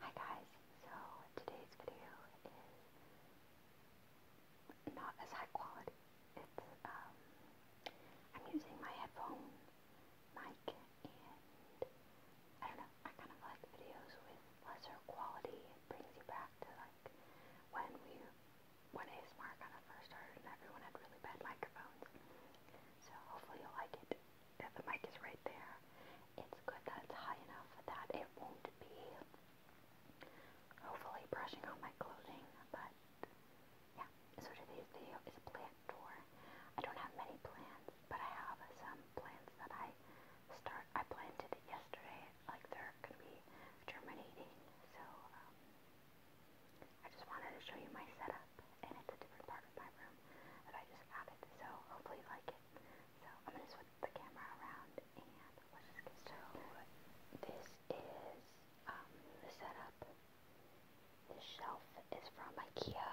Hi guys, so today's video is not as high quality. It's, um, I'm using my headphone mic and I don't know, I kind of like videos with lesser quality. It brings you back to like when we, when ASMR kind of first started and everyone had really bad microphones. So hopefully you'll like it if the mic is right there, it's good that it's high enough that it won't be hopefully brushing on my clothing, but yeah, so today's video is a plant tour. I don't have many plants, but I have some plants that I start, I planted it yesterday, like they're going to be germinating, so um, I just wanted to show you my setup and it's a different part of my room that I just added, so hopefully you like it. So I'm gonna switch the camera around and let's just get started. this is um, the setup. This shelf is from IKEA.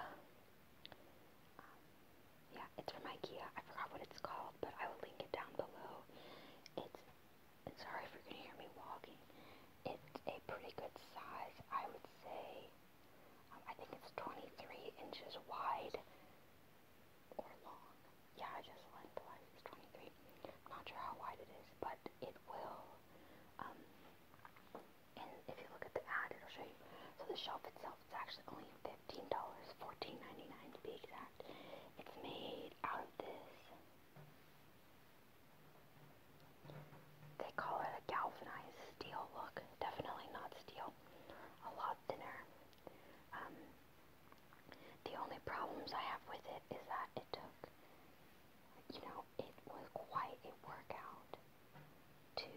Um, yeah, it's from IKEA. I forgot what it's called, but I will link it down below. It's sorry if you're gonna hear me walking. It's a pretty good size, I would say. I think it's 23 inches wide or long. Yeah, I just went it's 23. not sure how wide it is, but it will. Um, and if you look at the ad, it'll show you. So the shelf itself is actually only $15, $14.99 to be exact. It's made out of this. They call it a galvanized steel. Look, definitely not steel a lot thinner. Um, the only problems I have with it is that it took, you know, it was quite a workout to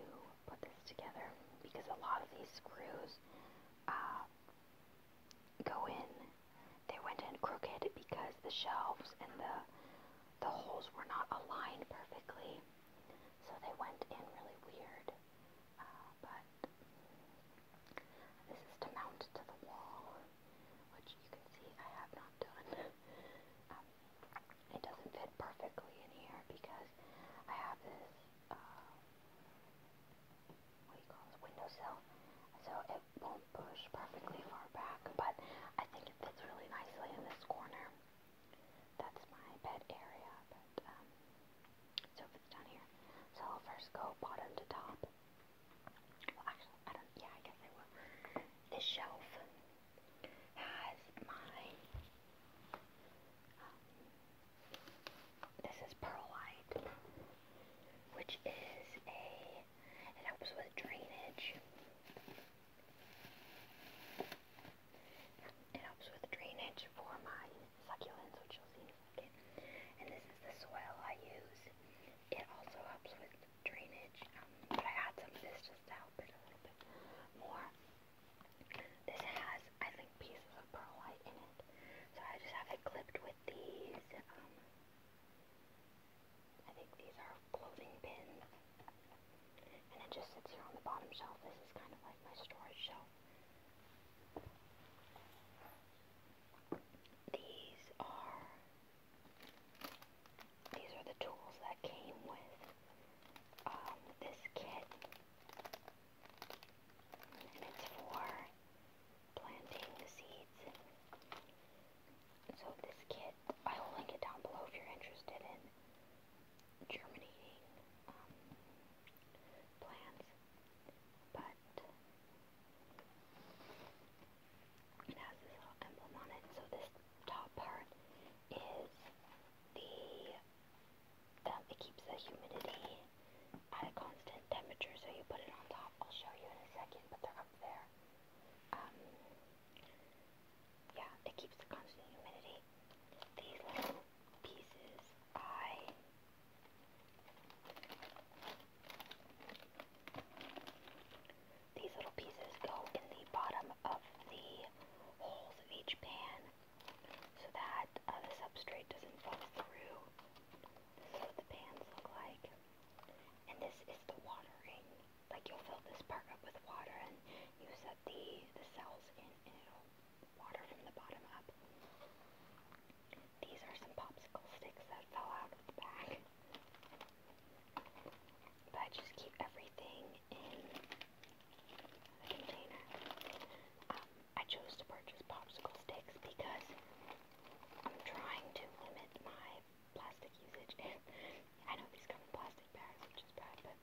put this together because a lot of these screws uh, go in. They went in crooked because the shelves and the the holes were not aligned perfectly. So they went in really weird, uh, but this is to mount to the wall, which you can see I have not done. Um, it doesn't fit perfectly in here because I have this, uh, what do you call this, so it won't push perfectly far back, but I think it fits really nicely in this corner. That's my bed area, but um, sofa's down here. So I'll first go bottom to top. Well, actually, I don't, yeah, I guess I will. This shelf has my, um, this is perlite, which is a, it helps with drainage. It helps with drainage for my succulents, which you'll see in a second. And this is the soil I use. It also helps with drainage, um, but I add some of this just to help it a little bit more. This has, I think, pieces of perlite in it, so I just have it clipped with these. Um, I think these are clothing pins. And it just sits here on the bottom shelf. This is kind of like my storage shelf. These are these are the tools that came with um, this kit. And it's for planting seeds. So this kit, I will link it down below if you're interested in germinating um, plants, but it has this little emblem on it. So this top part is the um, it keeps the humidity at a constant temperature. So you put it on top. I'll show you in a second, but they're up there. Um, yeah, it keeps the constant humidity. These little pieces, I these little pieces go in the bottom of the holes of each pan so that uh, the substrate doesn't fall through. This is what the pans look like. And this is the watering. Like you'll fill this part up with water and use the, the cells and it'll water from the bottom up. These are some popsicle sticks that fell out of the bag. But I just keep everything in the container. Um, I chose to purchase popsicle sticks because I'm trying to limit my plastic usage. I know these come in plastic bags, which is bad, but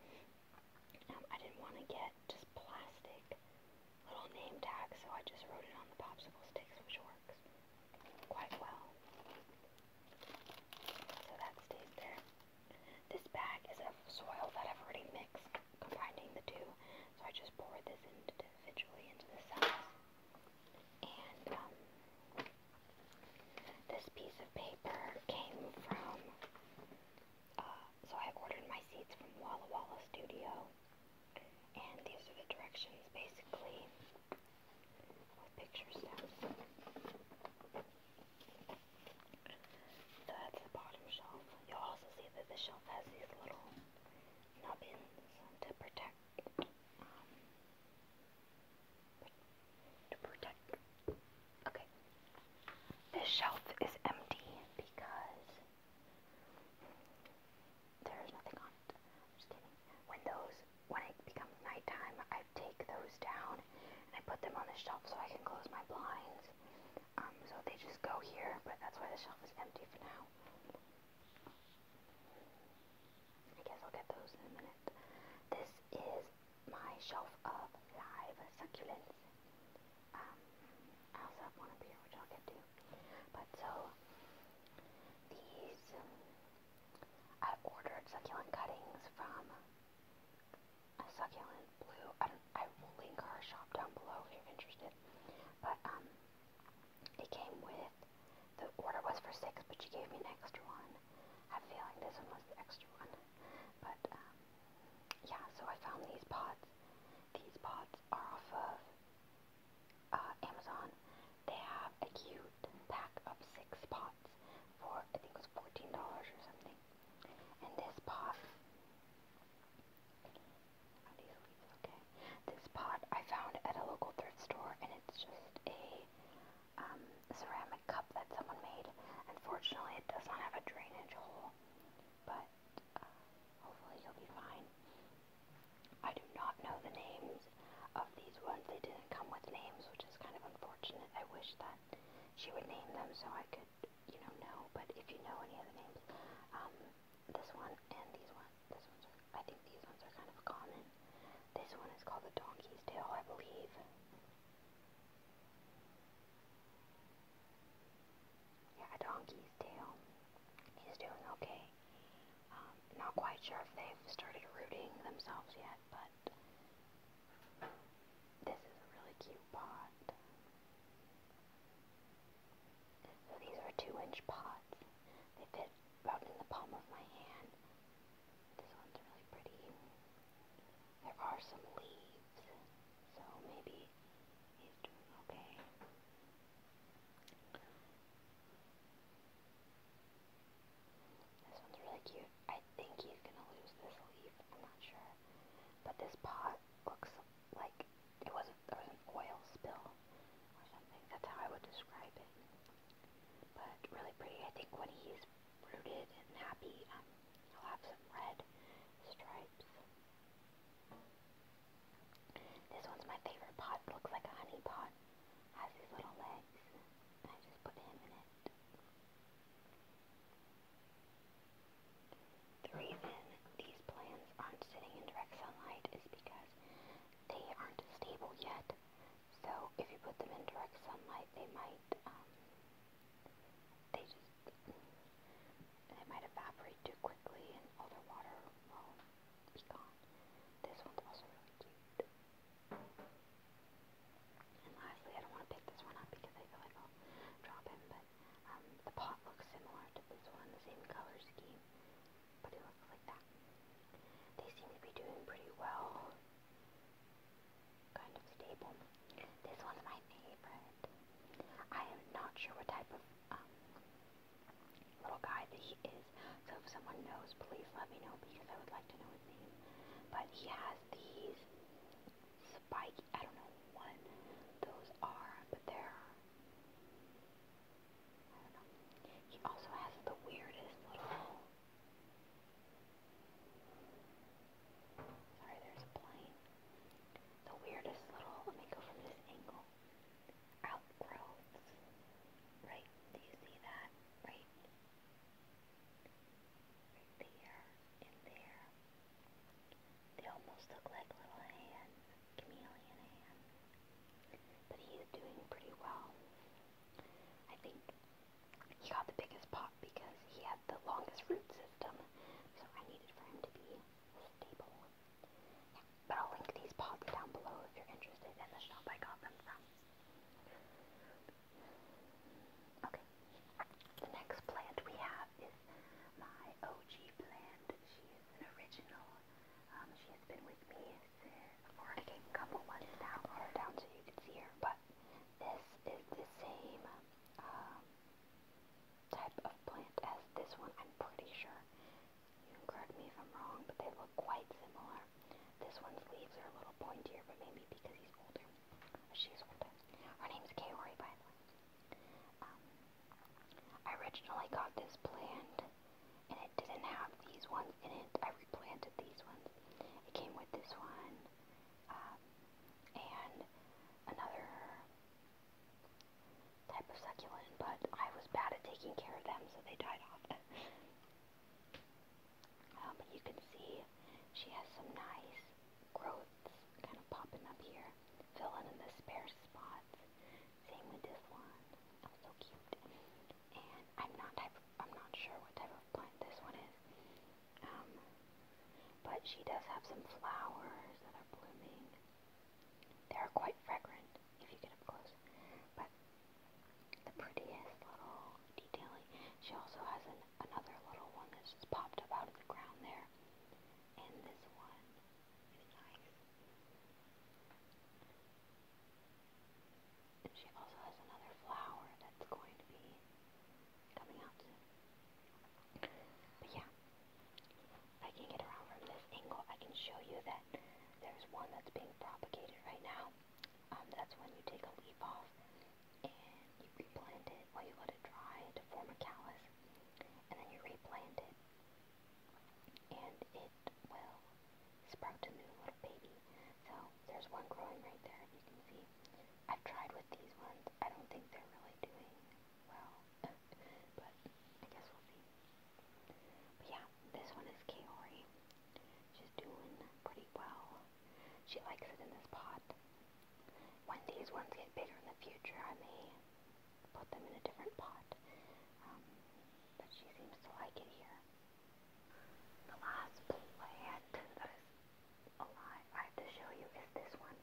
I didn't want to get just plastic little name tags, so I just wrote it on the popsicle sticks, which works quite well. So that stays there. This bag is of soil that I've already mixed, combining the two, so I just poured this individually into the cells. And, um, this piece of paper came from, uh, so I ordered my seats from Walla Walla Studio, and these are the directions basically with picture steps. So that's the bottom shelf. You'll also see that the shelf has these little nubbins to protect um, to protect. Okay. This shelf is empty because there's nothing on it. just kidding. When those, when it becomes nighttime, I take those down and I put them on the shelf so I can close my blinds. Um, so they just go here, but that's why the shelf is empty for now. I guess I'll get those in a minute. This is my shelf of live succulents. Um, I also have one up here, which I'll get to. But so, these, um, I ordered succulent cuttings from succulent blue. I, will link her shop down below if you're interested. But, um, it came with, the order was for six, but she gave me an extra one. I have a this one was the extra one. But um, yeah, so I found these pods. These pods are off of uh, Amazon. They have a cute pack of six pots for I think it was $14 or something. And this pot, are these leaves okay? This pot I found at a local thrift store, and it's just a um, ceramic cup that someone made. Unfortunately, it does not have a drainage hole, but uh, hopefully you'll be fine. I do not know the names of these ones. They didn't come with names, which is kind of unfortunate. I wish that she would name them so I could, you know, know. But if you know any of the names, um, this one and these one, this one's, are, I think these ones are kind of common. This one is called the Donkey's Tail, I believe. Yeah, a donkey's tail. He's doing okay. Um, not quite sure if they've started rooting themselves yet, but this is a really cute pot. So these are two inch pots. They fit about in the palm of my hand. This one's really pretty. There are some leaves, so maybe he's okay. This one's really cute. I think he's gonna lose this leaf. I'm not sure. But this pot looks like it was there was an oil spill or something. That's how I would describe it. But really pretty. I think when he's rooted and happy. Um, I'll have some red stripes. This one's my favorite pot. It looks like a honey pot. Has these little legs. I just put him in it. The reason these plants aren't sitting in direct sunlight is because they aren't stable yet. So if you put them in direct sunlight, they might um, they just they might evaporate too quickly, and all their water will be gone. This one's also really cute. And lastly, I don't want to pick this one up because I feel like I'll drop him, but um, the pot looks similar to this one, the same color scheme, but it looks like that. They seem to be doing pretty well kind of stable. This one's my favorite. I am not sure what type of um, little guy he is, so if someone knows, please let me know because I would like to know his name. But he has these spike, I don't know what those are, but they're, He also has the weirdest little Sorry, there's a plane. The weirdest little, let me go from this angle. Outgrowths. Right, do you see that? Right. Right there and there. They almost look like little hands, chameleon hands. But he's doing pretty well. I think he got the biggest pot because he had the longest root system, so I needed for him to be stable. but I'll link these pots down below if you're interested in the shop I got them from. Okay, the next plant we have is my OG plant. She is an original. Um, she has been with me for a couple months now. Down so you can see her, but this is the same um, type of plant as this one, I'm pretty sure. You correct me if I'm wrong, but they look quite similar. This one's leaves are a little pointier, but maybe because he's older. She's older. Her name's Kori. by the way. Um, I originally got this plant, and it didn't have these ones in it. I replanted these ones. It came with this one, um, and another type of succulent, but I was bad at taking care of them, so they died off. uh, but um, you can see she has some nice growths kind of popping up here, filling in the spare spots. Same with this one. Oh, so cute. And I'm not type. I'm not sure what type of plant this one is, um, but she does have some flowers that are blooming. They are quite fragrant if you get up close. But the prettiest little detailing. She also has another little one that's just popped up out of the ground there. And this one is nice. And she also has another flower that's going to be coming out But yeah, I can get around from this angle. I can show you that there's one that's being propagated right now. Um, that's when you take a leaf off and you replant it while you let it dry to form a callus. And then you replant it and it will sprout a new little baby. So there's one growing right there, if you can see. I've tried with these ones. I don't think they're really doing well, but I guess we'll see. But yeah, this one is Kaori. She's doing pretty well. She likes it in this pot. When these ones get bigger in the future, I may put them in a different pot. Um, but she seems to like it here. The last plant that is alive I have to show you is this one.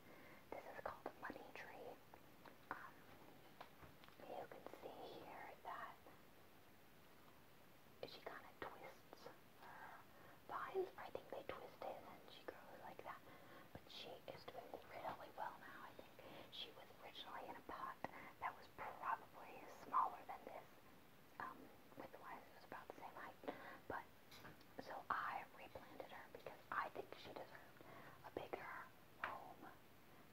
This is called the money tree. Um, you can see here that she kind of twists her vines. I think they twist it and she grows like that. But she is doing really well now, I think. She was originally in a pot that was probably smaller than this um, width-wise it was about the same height, but, so I replanted her because I think she deserved a bigger home,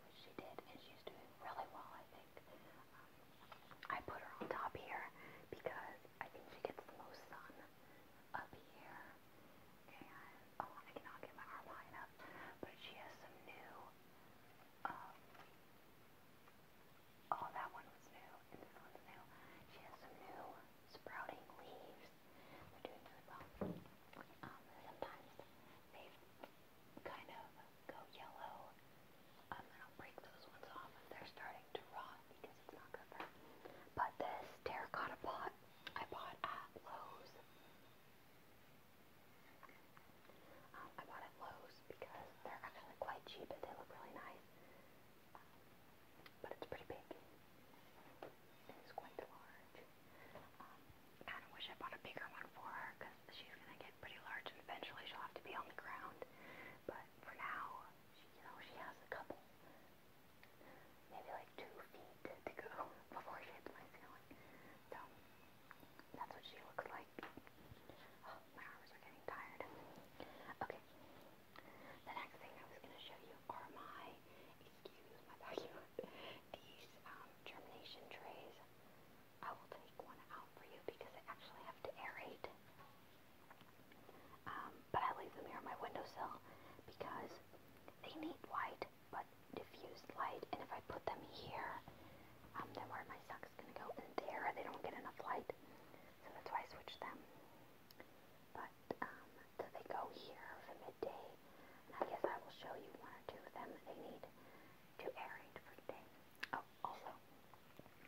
which she did, and she's doing really well, I think. Um, I put her on top here because I think she gets the most sun up here, and, oh, I cannot get my arm high enough, but she has some new, um, Oh, that one was new, and this one's new. She has some new sprouting leaves. They're doing really well. Um, sometimes they kind of go yellow, um, and I'll break those ones off if they're starting to rot because it's not good for them. But this terracotta pot I bought at Lowe's. Um, I bought at Lowe's because they're actually quite cheap and they look really nice. But it's pretty big. It's quite large. Um, I kind of wish I bought a bigger one for her because she's going to get pretty large and eventually she'll have to be on the ground. But for now, she, you know, she has a couple, maybe like two feet to go before she hits my ceiling. So that's what she looks like. Oh, Oh, my arms are getting tired. Okay. The next thing I was going to show you are my, excuse my vacuum, these um, germination trays. I will take one out for you because I actually have to aerate. Um, but I leave them here on my windowsill because they need light, but diffused light. And if I put them here, um, then where my sucks they don't get enough light. So that's why I switch them. But um, so they go here for midday. I guess I will show you one or two of them they need to aerate for today. Oh, also,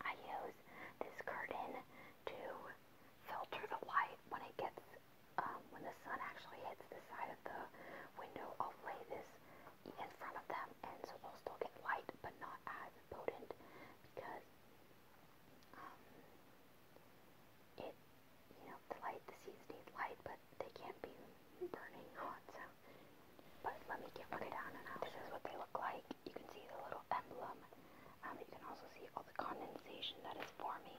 I use this curtain to filter the light when it gets, um, when the sun actually hits the side of the window. I'll lay this in front of them and so they'll still get light but not as potent because um, it, you know, the light, the seeds need light, but they can't be burning hot, so. But let me get one down This is what they look like. You can see the little emblem. Um, you can also see all the condensation that is forming.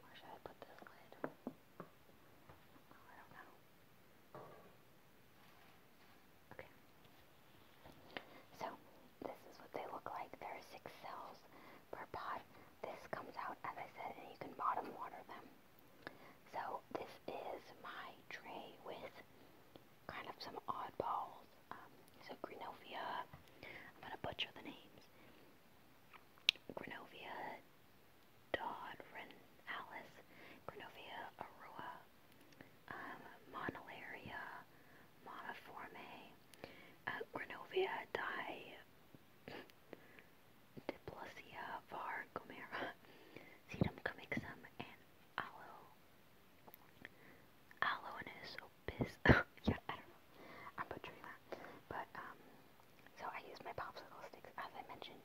Where should I put this lid? Oh, I don't know. Okay. So, this is what they look like. There are six cells per pod. This comes out, as I said, and you can bottom water them. So, this is my tray with kind of some odd balls. Um, so, Greenovia, I'm going to butcher the names. Granovia, Dodd, Alice, Grenovia, Arua, um, Monolaria, Monoforme, uh, Di, Diplosia, Var, Gomera, and Aloe. Alonus Biz. yeah, I don't know. I'm butchering that. But, um, so I used my popsicle sticks, as I mentioned,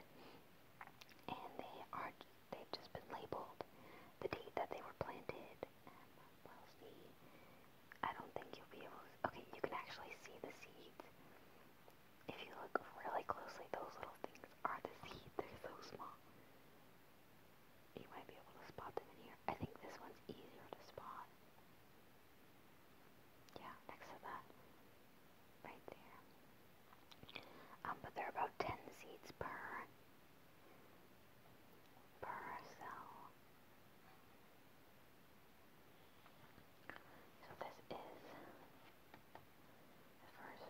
and they are, they've just been labeled the date that they were planted. And we'll see. I don't think you'll be able to, okay, you can actually see the seeds. If you look really closely, those little things are the seeds. They're so small. You might be able to spot them in here. I think this one's easier to spot. Yeah, next to that. Right there. Um, but there are about 10 seeds per, per cell. So this is the first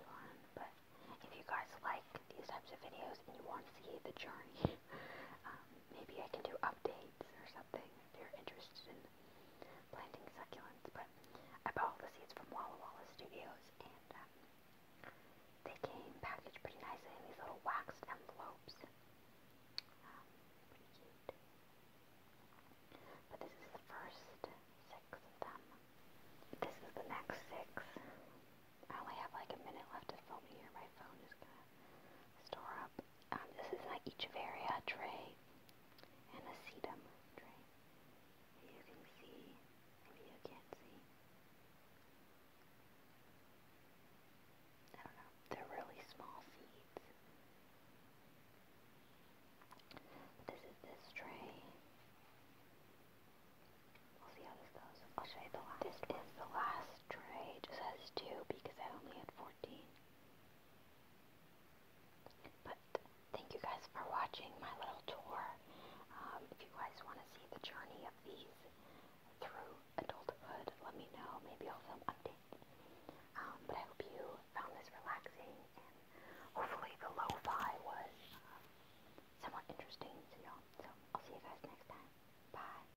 one, but if you guys like these types of videos and you want to see the journey, um, maybe I can do updates or something that thing if you're interested in planting succulents. But I bought all the seeds from Walla Walla Studios, and um, they came packaged pretty nicely in these little waxed envelopes. Um, pretty cute. But this is the first six of them. This is the next six. I only have like a minute left of filming here. My phone is gonna store up um, this is like Echeveria tray and a sedum tray. You can see, maybe you can't see. I don't know, they're really small seeds. This is this tray. We'll see how this goes. I'll show you the last. This is the last stray just has two because I only had 14. But thank you guys for watching my little tour. Um, if you guys want to see the journey of these through adulthood, let me know. Maybe I'll film update. Um, but I hope you found this relaxing and hopefully the lo was uh, somewhat interesting to know. So I'll see you guys next time. Bye.